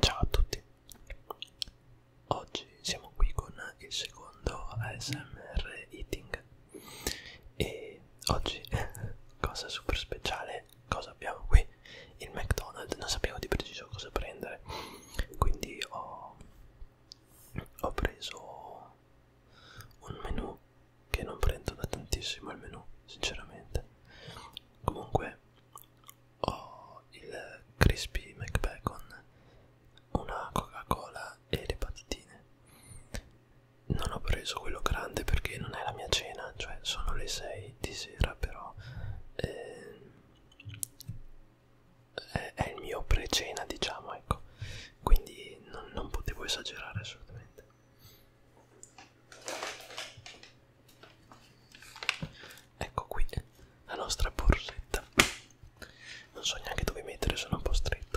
Ciao a tutti, oggi siamo qui con il secondo ASMR Eating e oggi, cosa super speciale, cosa abbiamo qui? Il McDonald's, non sapevo di preciso cosa prendere, quindi ho, ho preso un menù che non prendo da tantissimo il menù, sinceramente. Comunque ho il crispy McBacon, una Coca-Cola e le patatine. Non ho preso quello grande perché non è la mia cena, cioè sono le 6 di sera, però eh, è, è il mio pre-cena, diciamo, ecco. Quindi non, non potevo esagerare assolutamente. Ecco qui la nostra borsetta. Non so neanche dove mettere, sono un po' stretto.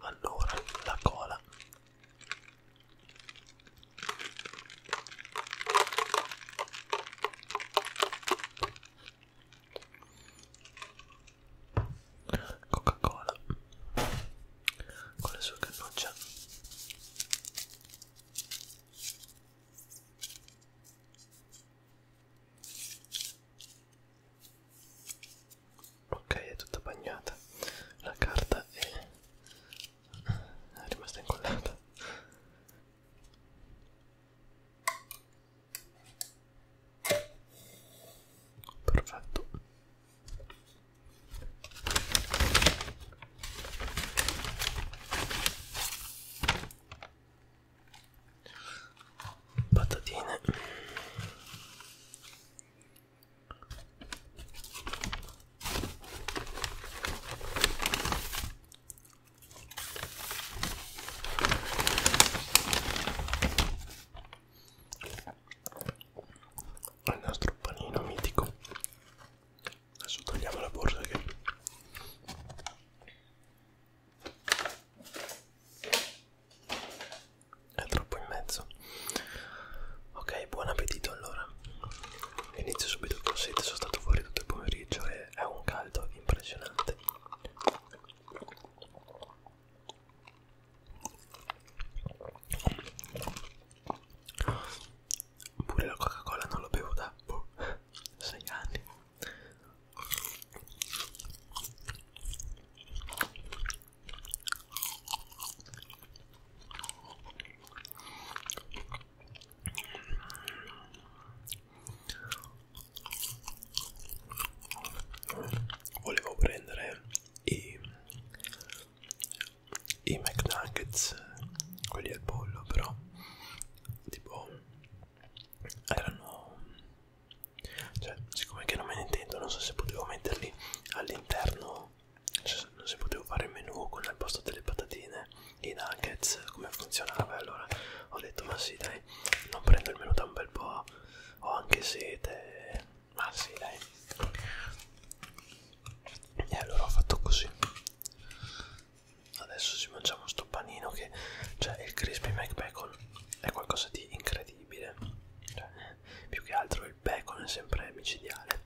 Allora, la cola. Coca-Cola con le sue cannucce ok è tutta bagnata la carta è, è rimasta incollata perfetto patatine il nostro panino mitico adesso togliamo la borsa che è troppo in mezzo ok buon appetito allora inizio subito con sete sono stato fuori tutto il pomeriggio e è un caldo impressionante Pure la Coca-Cola non lo bevo da boh, 6 anni volevo prendere i, i McNuggets, quelli al pollo però tipo erano cioè siccome che non me ne intendo non so se potevo metterli all'interno cioè, non se potevo fare il menù con al posto delle patatine i nuggets come funzionava allora ho detto ma sì dai non prendo il menù da un bel po' ho anche sete ma ah, sì dai e allora ho fatto così adesso ci mangiamo sto panino che cioè il crispy mac bacon è qualcosa di incredibile cioè, più che altro il bacon è sempre micidiale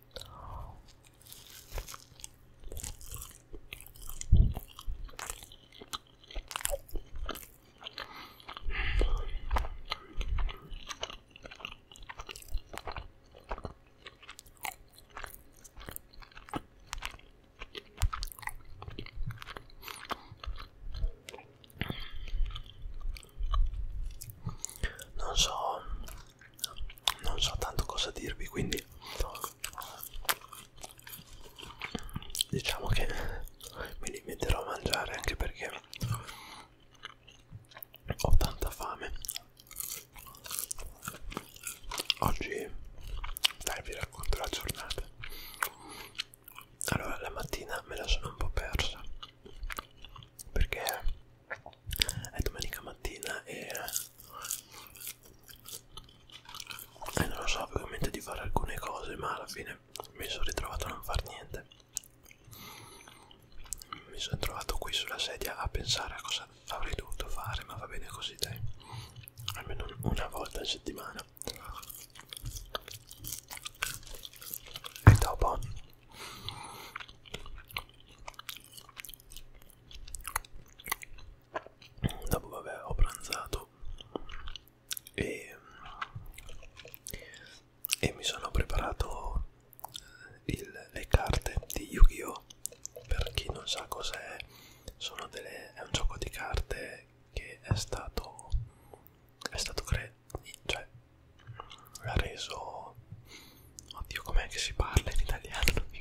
non so, non so tanto cosa dirvi, quindi diciamo che mi limiterò a mangiare anche perché ho tanta fame oggi dai vi racconto la giornata allora la mattina me la sono un po' persa perché è domenica mattina e e non lo so, ovviamente di fare alcune cose, ma alla fine bene, mi sono ritrovato a non far niente. Mi sono trovato qui sulla sedia a pensare a cosa avrei dovuto fare, ma va bene così dai, almeno una volta a settimana. E dopo dopo vabbè ho pranzato e, e mi sono preparato eh, il, le carte di Yu-Gi-Oh! Per chi non sa cos'è, è un gioco di carte che è stato, è stato cre cioè, reso, oddio com'è che si parla in italiano,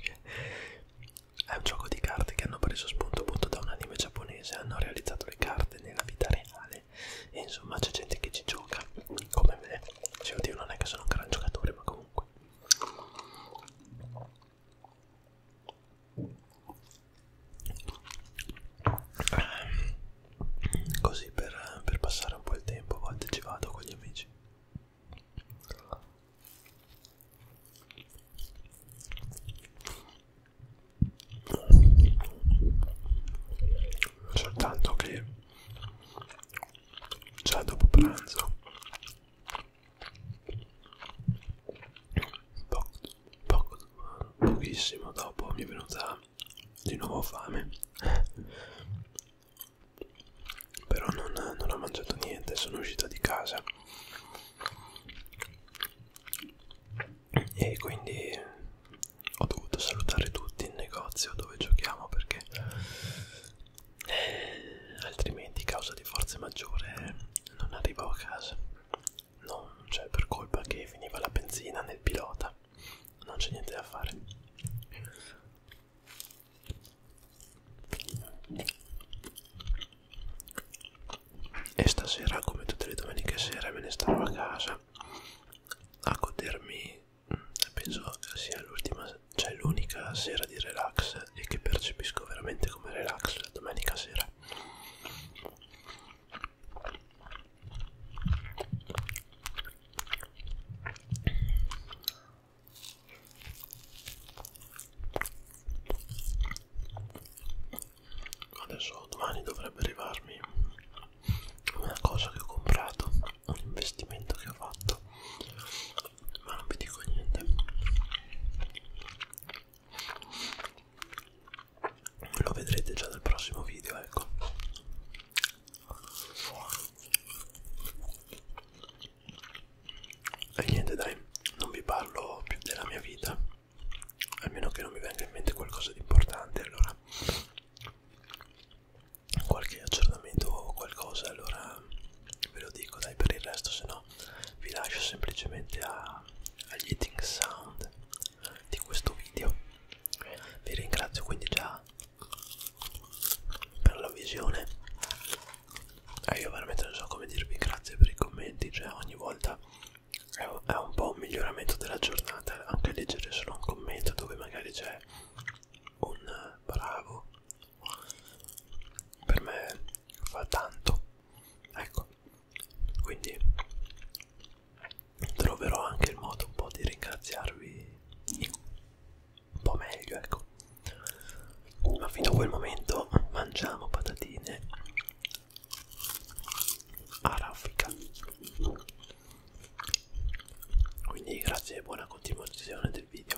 è un gioco di carte che hanno preso spunto appunto da un anime giapponese, hanno realizzato le carte giocate nella vita reale e insomma c'è gente che ci gioca come me cioè oddio non è che sono un gran giocatore ma comunque così per, per passare un po' il tempo a volte ci vado con gli amici soltanto che già dopo pranzo poco, poco, pochissimo dopo mi è venuta di nuovo fame però non, non ho mangiato niente sono uscita di casa e quindi ho dovuto salutare tutti in negozio dove giochiamo perché eh, altrimenti causa di forza maggiore eh, non arrivavo a casa non cioè per colpa che finiva la benzina nel pilota non c'è niente da fare e stasera come tutte le domeniche sera me ne starò a casa a godermi mm, penso sia l'ultima cioè l'unica sera di relax e che percepisco veramente come relax la domenica sera adesso domani dovrebbe arrivarmi una cosa che ho comprato un investimento che ho fatto ma non vi dico niente lo vedrete già nel prossimo video ecco e niente dai non vi parlo più della mia vita a meno che non mi venga in mente qualcosa di importante allora qualche aggiornamento o qualcosa allora ve lo dico dai per il resto se no vi lascio semplicemente a, agli eating sound di questo video vi ringrazio quindi già per la visione e eh, ah, io veramente non so come dirvi grazie per i commenti cioè ogni volta è un, è un po' un miglioramento della giornata anche leggere solo un commento dove magari c'è un bravo per me fa tanto ecco quindi troverò anche il modo un po' di ringraziarvi un po' meglio ecco ma fino a quel momento mangiamo patatine arabica quindi grazie e buona continuazione del video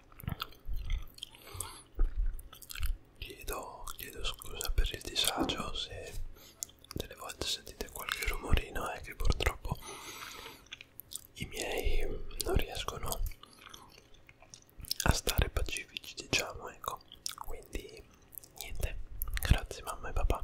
Chiedo, chiedo scusa per il disagio se delle volte sentite qualche rumorino, è eh, che purtroppo i miei non riescono a stare pacifici, diciamo, ecco. Quindi niente, grazie mamma e papà.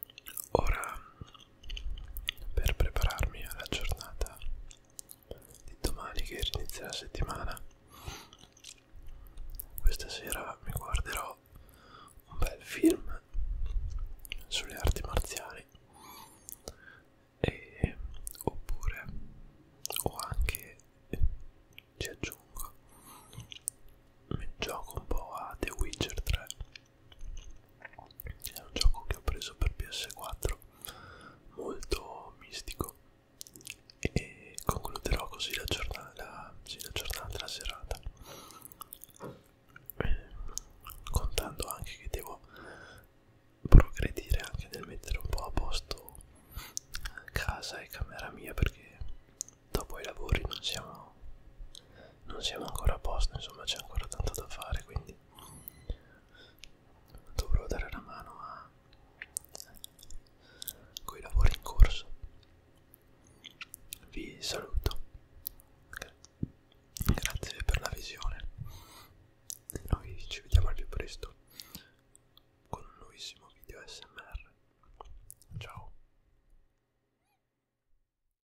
Ora, per prepararmi alla giornata di domani che inizia la settimana, questa sera mi guarderò un bel film sulle arti marziali e oppure o anche ci aggiungo mi gioco un po' a The Witcher 3 è un gioco che ho preso per PS4 molto mistico e concluderò così la giornata la, sì, la giornata la serata eh, contando anche che devo progredire anche nel mettere un po' a posto casa e camera mia perché dopo i lavori non siamo non siamo ancora a posto insomma c'è ancora tanto da fare quindi dovrò dare una mano a coi lavori in corso vi saluto Gra grazie per la visione e noi ci vediamo al più presto con un nuovissimo video smr ciao